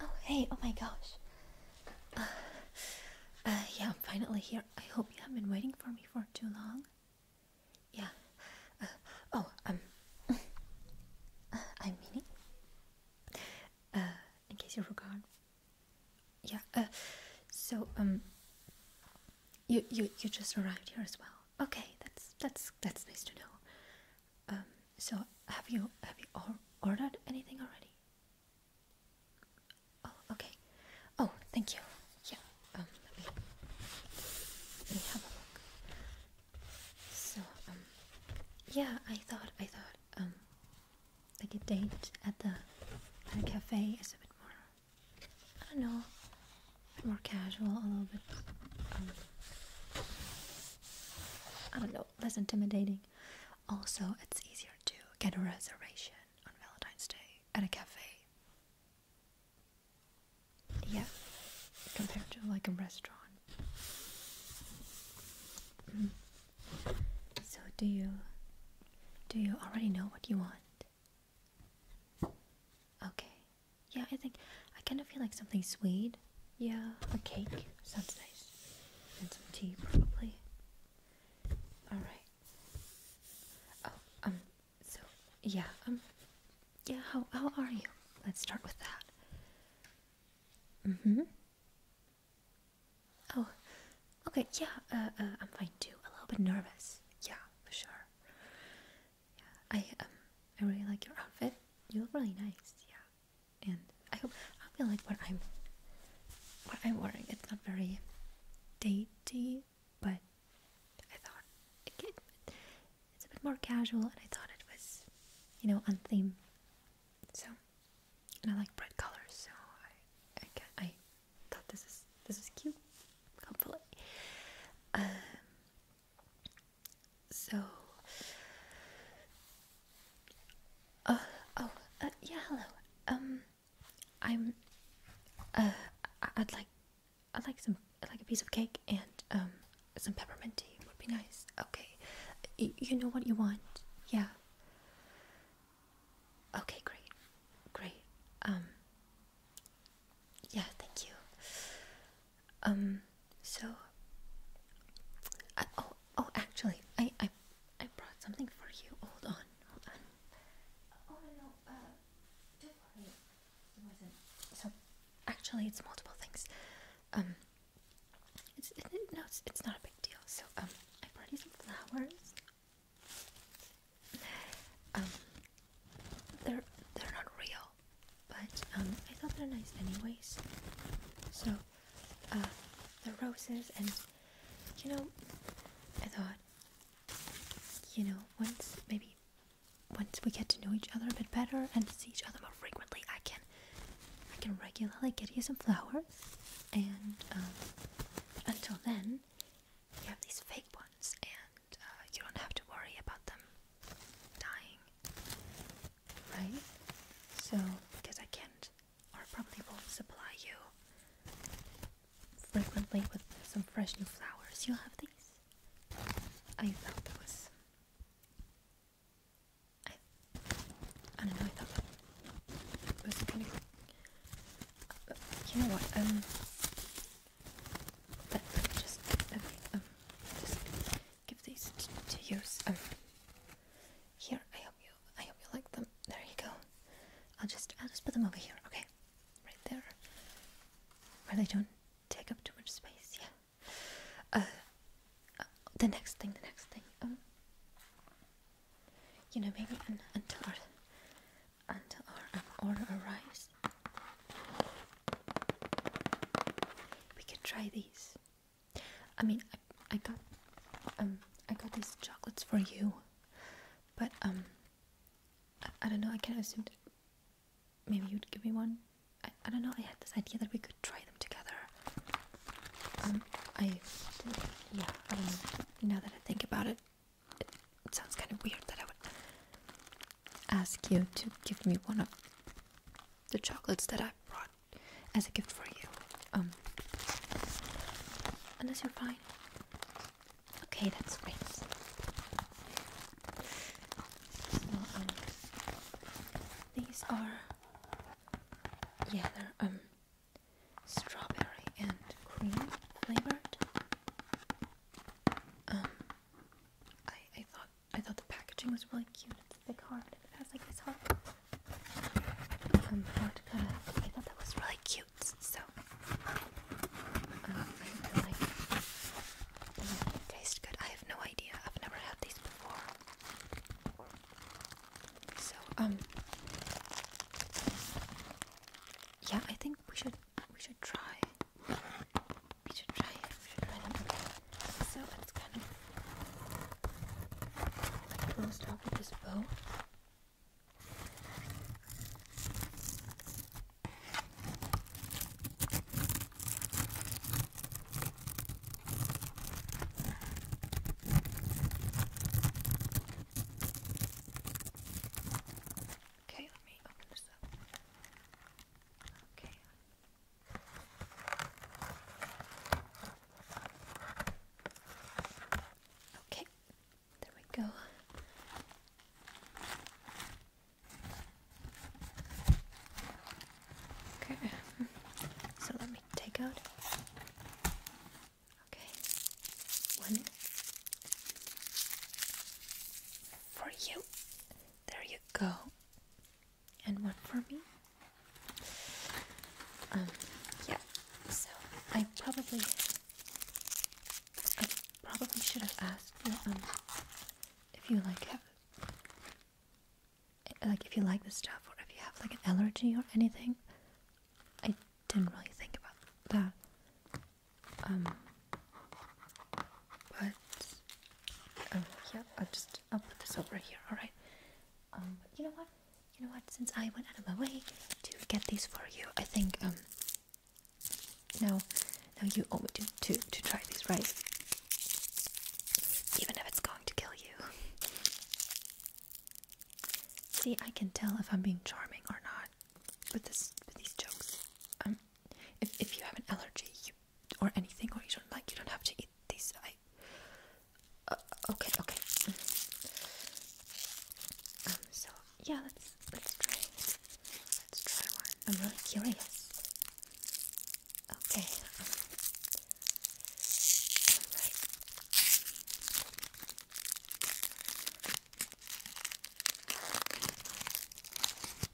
Oh, hey, oh my gosh. Uh, uh, yeah, I'm finally here. I hope you haven't been waiting for me for too long. Yeah. Uh, oh, um, uh, I'm Minnie. Uh, in case you forgot. Yeah, uh, so, um, you, you, you just arrived here as well. Okay, that's, that's, that's nice to know. Um, so have you have you or ordered anything already? Oh, okay. Oh, thank you. Yeah. Um, let me, have a look. So um, yeah, I thought I thought um, like a date at the at a cafe is a bit more. I don't know, more casual, a little bit. Um, I don't know less intimidating. Also, it's easier to get a reservation on Valentine's Day at a cafe. Yeah, compared to like a restaurant. Mm-hmm. So, do you do you already know what you want? Okay. Yeah, I think I kind of feel like something sweet yeah, a cake sounds nice. And some tea, probably. Alright. Oh, um, so, yeah, um, yeah, how, how are you? Let's start with that. Mm hmm. Oh, okay, yeah, uh, uh, I'm fine too. A little bit nervous. Yeah, for sure. Yeah, I, um, I really like your outfit. You look really nice, yeah and I I feel like what I'm what I'm wearing it's not very dainty but I thought okay, it's a bit more casual and I thought it was you know on theme so and I like bright colors so I I, can, I thought this is this is cute hopefully um, so, uh, oh, uh, yeah, hello. Um, I'm. Uh, I'd like, I'd like some, like a piece of cake and um, some peppermint tea would be nice. Okay, you know what you want, yeah. Okay, great, great. Um, yeah, thank you. Um, so, oh, oh, actually, I, I, I brought something for you. Hold on, hold on. Oh no, uh, So, actually, it's multiple things. Um, it's no, it's, it's not a big deal. So, um, I brought you some flowers. Um, they're they're not real. But um, I thought they're nice anyways. So, uh, the roses and, you know, I thought, you know, once, maybe, once we get to know each other a bit better and see each other more frequently, I can, I can regularly get you some flowers. And, um, until then, you have these fake ones and uh, you don't have to worry about them dying, right? So, because I can't or probably won't supply you frequently with some fresh new flowers, you'll have these. Oh, I thought that was. I, don't know, I thought that was kind of. you know what? Um. That, just. Um, um, just give these to use. Oh. here, I hope you, I hope you like them. There you go. I'll just, I'll just put them over here. Okay, right there, where they don't take up too much space. Yeah. Uh, uh, the next thing, the next thing. Um, you know, maybe un until our, until our um, order arrives. We can try these. I mean, I, I got um I got these chocolates for you, but um I, I don't know. I can of assumed maybe you'd give me one. I, I don't know. I had this idea that we could try them together. Um, I yeah. Now that I think about it, it sounds kind of weird that I would ask you to give me one of the chocolates that I brought as a gift for you. Um, unless you're fine. Okay, that's great. Um, these are yeah, they're um strawberry and cream flavored. Um, I I thought I thought the packaging was really cute. It's a big heart. It has like this heart I thought that was really cute. So um, I really Tastes good. I have no idea. I've never had these before. So um, yeah, I think we should we should try we should try it. We should try them. So it's kind of like we this bow. Okay, let me open this up. Okay, Okay, there we go. Okay, so let me take out. Okay, one for you. There you go. And one for me. Um, yeah. So I probably, I probably should have asked you um if you like have like if you like this stuff or if you have like an allergy or anything. I didn't really think about that. Um, but um, yeah, I'll just I'll put this over here. All right. Um, you know what? You know what? Since I went out of my way to get these for you, I think um. Now, now you owe me to to to try these, right? Even if it's going to kill you. See, I can tell if I'm being charming or not with this these jokes. Um if if you have an allergy you, or anything, or you don't like, you don't have to eat these. I uh, okay, okay. Um, so yeah, let's let's try let's try one. I'm really curious. Okay.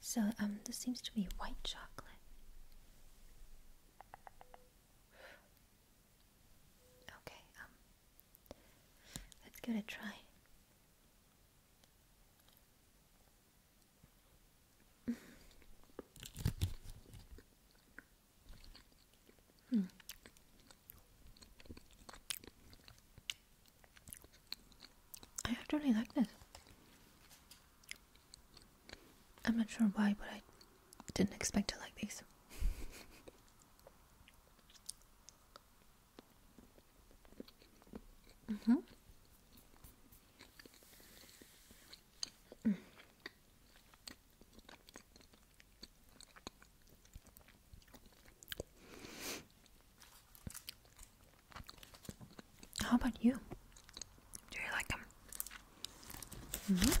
So, um, this seems to be white chocolate. Okay, um, let's give it a try. Hmm. I actually like this. I'm not sure why, but I didn't expect to like these. mm-hmm. mm hmm how about you? Do you like them? Mm-hmm.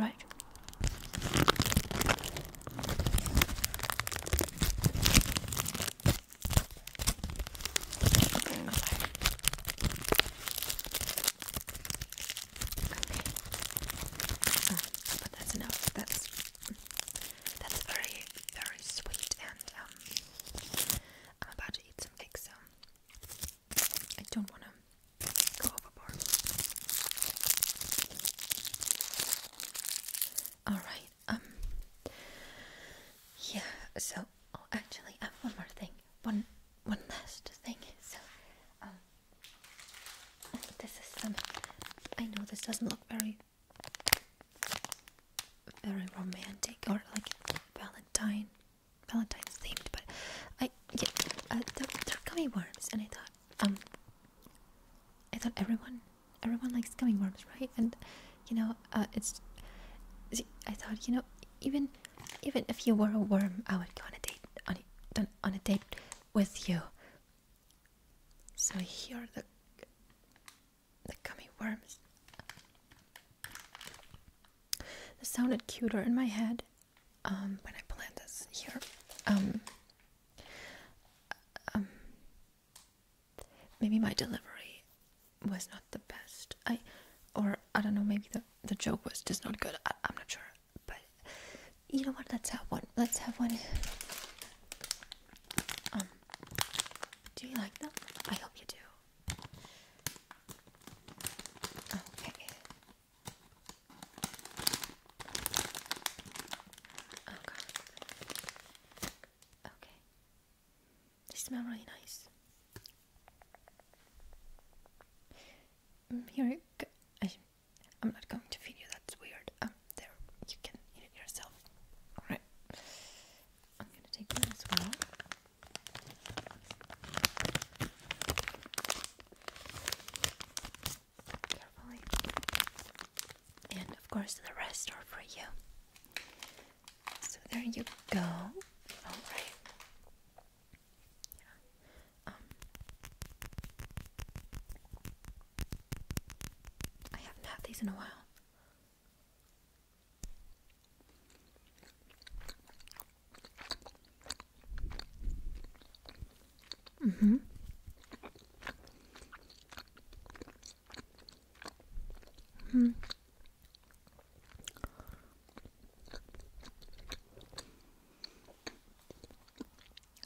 Right but ah, that's enough. That's very very sweet, and um, I'm about to eat some eggs, so I don't want to go overboard. All right. Um. Yeah. So, oh, actually, I have one more thing one one last thing. So, um, this is some. I know this doesn't look very, very romantic or like Valentine, Valentine's themed, but I yeah, uh, they're, they're gummy worms, and I thought um, I thought everyone everyone likes gummy worms, right? And you know, uh, it's I thought you know even even if you were a worm, I would go on a date on on a date with you. So here are the the gummy worms. This sounded cuter in my head um, when I planned this here. Um, um, maybe my delivery was not the best. I, or I don't know, maybe the, the joke was just not good. I, am not sure. But you know what? Let's have one. Let's have one. Um, do you like them? I hope you do. Okay. Oh, okay. They smell really nice. Mm, here I, am not going to feed you. That's weird. Um, there you can eat it yourself. All right. I'm gonna take that as well. Carefully. And of course, the rest are for you. So there you go. All right. Yeah. Um, I haven't had these in a while. Mm-hmm. Hmm.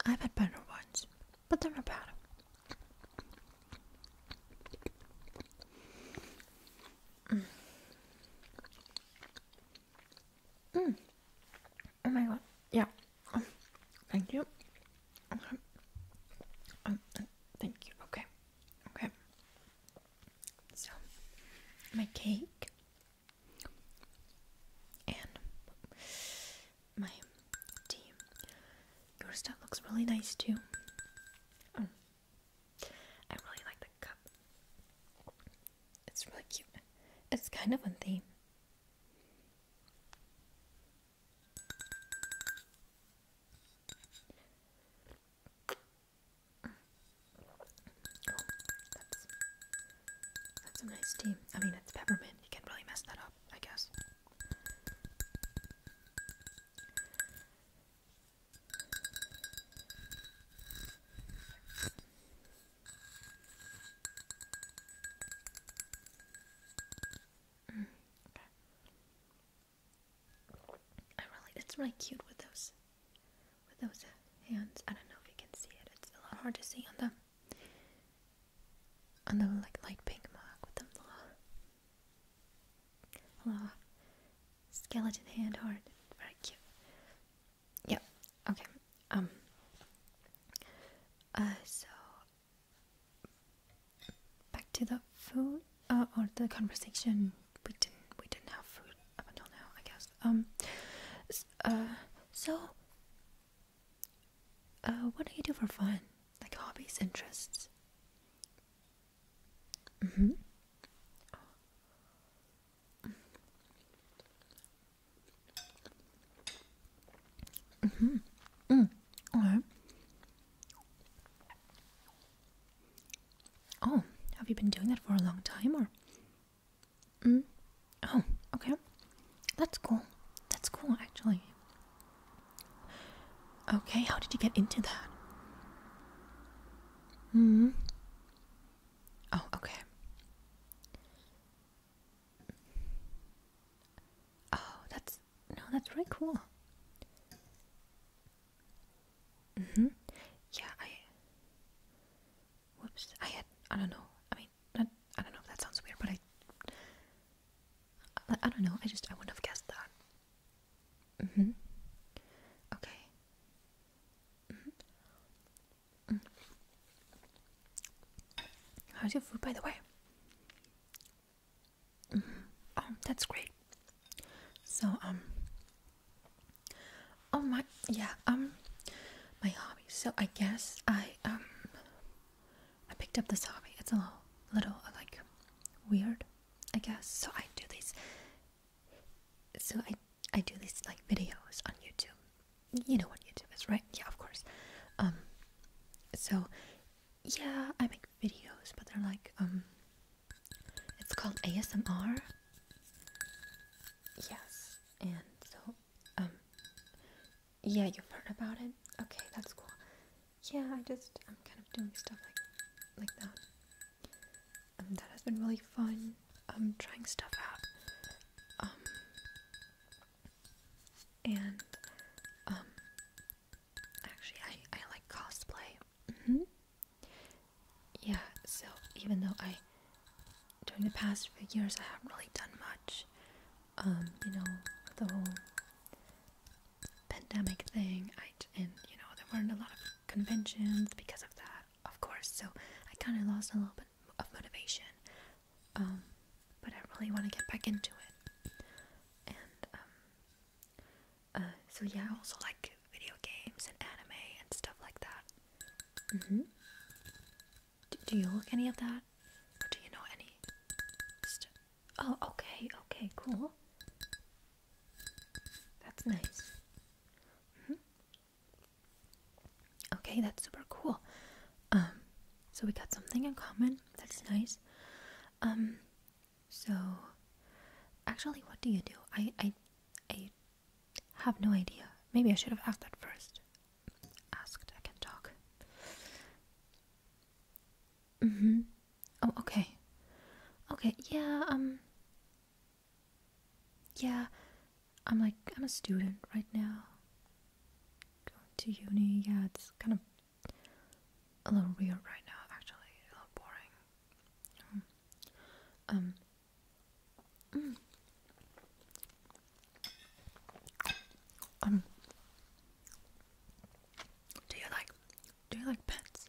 I've had better ones, but they're not bad. Mm. Oh my god. Yeah. Oh, thank you. Okay. Um, thank you. Okay. Okay. So, my cake and my tea. Your stuff looks really nice too. Oh. I really like the cup. It's really cute. It's kind of on theme that's, a nice team. I mean, it's peppermint. You can't really mess that up, I guess. Mm, okay. I really, it's really cute with those, with those hands. I don't know if you can see it. It's a lot hard to see on the, on the like light pink mug with them little, little skeleton hand Hard. Very cute. Yeah. Okay. Um. Uh. So back to the food uh, or the conversation we didn't we didn't have food up until now I guess um uh so uh what do you do for fun like hobbies interests mm-hmm mm-hmm, mm-hmm. mm. all right Oh, have you been doing that for a long time or? Mm? Oh, okay. That's cool. That's cool actually. Okay, how did you get into that? Hmm. Oh, okay. Oh, that's no, that's really cool. Mm-hmm. Yeah, I. Whoops. I had. I don't know. I mean, not, I don't know if that sounds weird, but I. I, don't know. I just. I wouldn't have guessed that. Mm-hmm. Mm-hmm. Mm hmm. Okay. Mm -hmm. How's your food, by the way? Mm-hmm. Oh, that's great. So um. Oh my yeah um, my hobby. So I guess I um. I picked up this hobby. It's a little, little uh, like weird, I guess. So I do these. So I I do these like videos on YouTube. You know what YouTube is, right? Yeah, of course. Um, so yeah, I make videos, but they're like um it's called ASMR. Yes, and so um, yeah, you've heard about it. Okay, that's cool. Yeah, I just I'm kind of doing stuff like like that. Um, that has been really fun. I'm um, trying stuff out. Um, and um, Actually, I, I like cosplay. Mm-hmm. Yeah, so even though I, during the past few years, I haven't really done much, um, you know, the whole pandemic thing, and, you know, there weren't a lot of conventions because of that, of course, so I kind of lost a little bit of motivation, um, but I really want to get back into it, um, uh, so yeah, I also like video games and anime and stuff like that. Mm-hmm. Do, you look any of that? do you know any? St oh, okay, okay, cool. That's nice. Mm-hmm. Okay, that's super cool. Um, so we got something in common. That's nice. Um, so, actually, what do you do? I, I, have no idea. Maybe I should have asked that first. Asked, I can talk. Mm hmm. Oh, okay. Okay, yeah, um. Yeah, I'm like, I'm a student right now. Going to uni, yeah, it's kind of a little weird right now, actually, a little boring. Um, mm. um. Do you like do you like pets?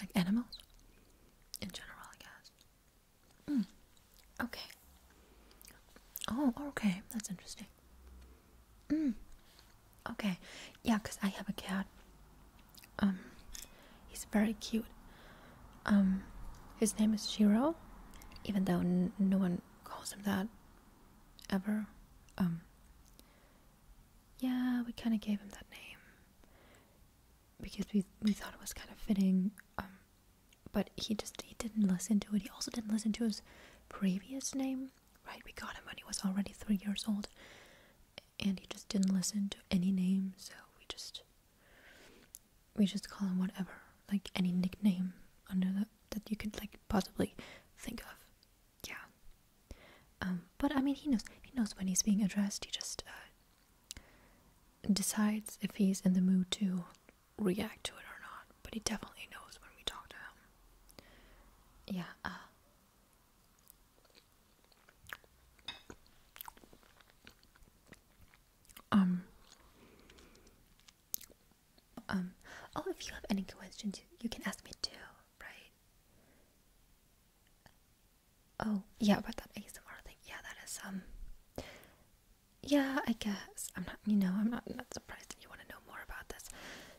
Like animals? In general, I guess. Mm. Okay. Oh, okay. That's interesting okay. Mm. Okay, yeah, cause I have a cat. Um, he's very cute. Um, his name is Shiro, even though no one calls him that ever. Um, yeah, we kind of gave him that name because we we thought it was kind of fitting. Um, but he just he didn't listen to it. He also didn't listen to his previous name right? We got him when he was already three years old, and he just didn't listen to any name, so we just we just call him whatever, like any nickname under that that you could like possibly think of. Yeah. Um, but I mean, he knows he knows when he's being addressed. He just uh, decides if he's in the mood to react to it or not. But he definitely knows when we talk to him. Yeah. Uh, um. Um. Oh, if you have any questions, you, can ask me too, right? Oh, yeah, about that ASMR thing. Yeah, that is um. Yeah, I guess I'm not. You know, I'm not not surprised if you want to know more about this.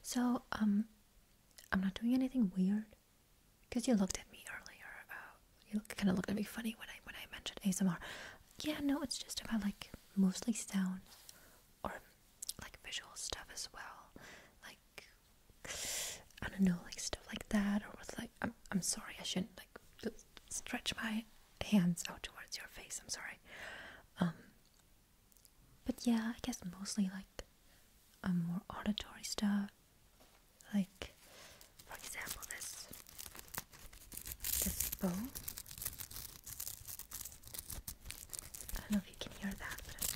So, um, I'm not doing anything weird. Because you looked at me earlier. Uh, you kind of looked at me funny when I when I mentioned ASMR. Yeah, no, it's just about like mostly sound or like visual stuff as well. Like I don't know, like stuff like that or with like I'm I'm sorry, I shouldn't like stretch my hands out towards your face. I'm sorry. Um, but yeah, I guess mostly like a more auditory stuff. Like for example this this bow. I don't know if you can hear that, but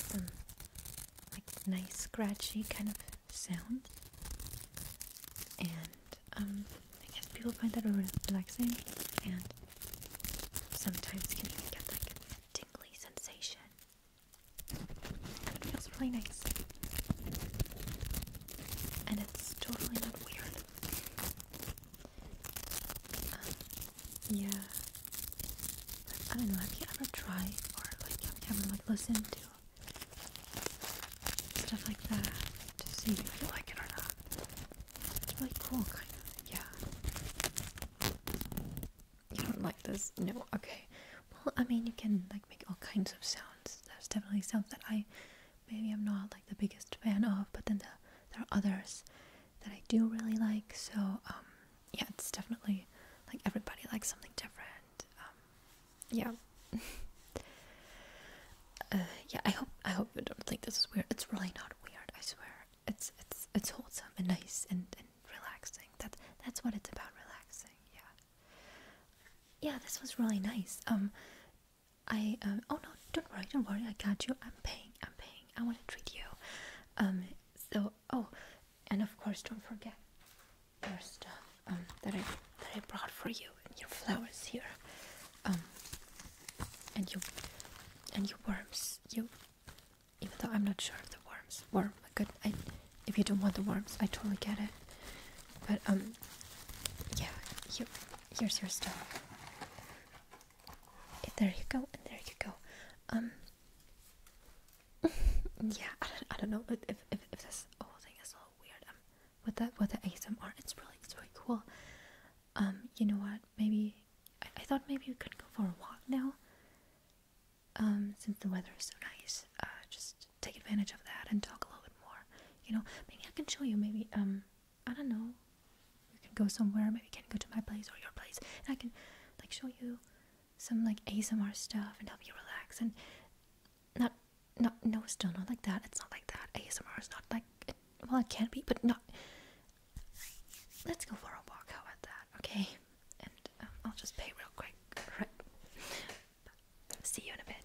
some like nice scratchy kind of sound. And um, I guess people find that relaxing and sometimes can even get like a tingly sensation. it feels really nice. And it's totally not weird. Um, yeah. I don't know, have you ever tried or like have you ever like listened to stuff like that to see if you like it or not. It's really cool, kind of. Yeah. You don't like this? No. Okay. Well, I mean, you can like make all kinds of sounds. There's definitely sounds that I maybe I'm not like the biggest fan of, but then the, there are others that I do really like. So um, yeah, it's definitely like everybody likes something different. Um, yeah. Uh, yeah, I hope I hope you don't think this is weird. It's really not weird, I swear. It's it's it's wholesome and nice and, and relaxing. That's. that's what it's about, relaxing. Yeah. Yeah, this was really nice. Um, I um oh no, don't worry, don't worry. I got you. I'm paying. I'm paying. I want to treat you. Um, so oh, and of course, don't forget your stuff. Um, that I that I brought for you and your flowers here, um, and you and your worms. You, even though I'm not sure if the worms, worm. Good. I, if you don't want the worms, I totally get it. But um, yeah. You, here's your stuff. There you go, and there you go. Um. yeah, I don't, I don't know if, if, if this whole thing is all weird. Um, with the with the ASMR. It's really it's really cool. Um, you know what? Maybe I, thought maybe we could go for a walk now. Um, since the weather is so nice, uh, just take advantage of that and talk a little bit more. You know, maybe I can show you. Maybe um, I don't know. We can go somewhere. Maybe you can go to my place or your place, and I can like show you some like ASMR stuff and help you relax and not not no still not like that it's not like that asmr is not like well it can not be but not let's go for a walk how about that okay and um, i'll just pay real quick right see you in a bit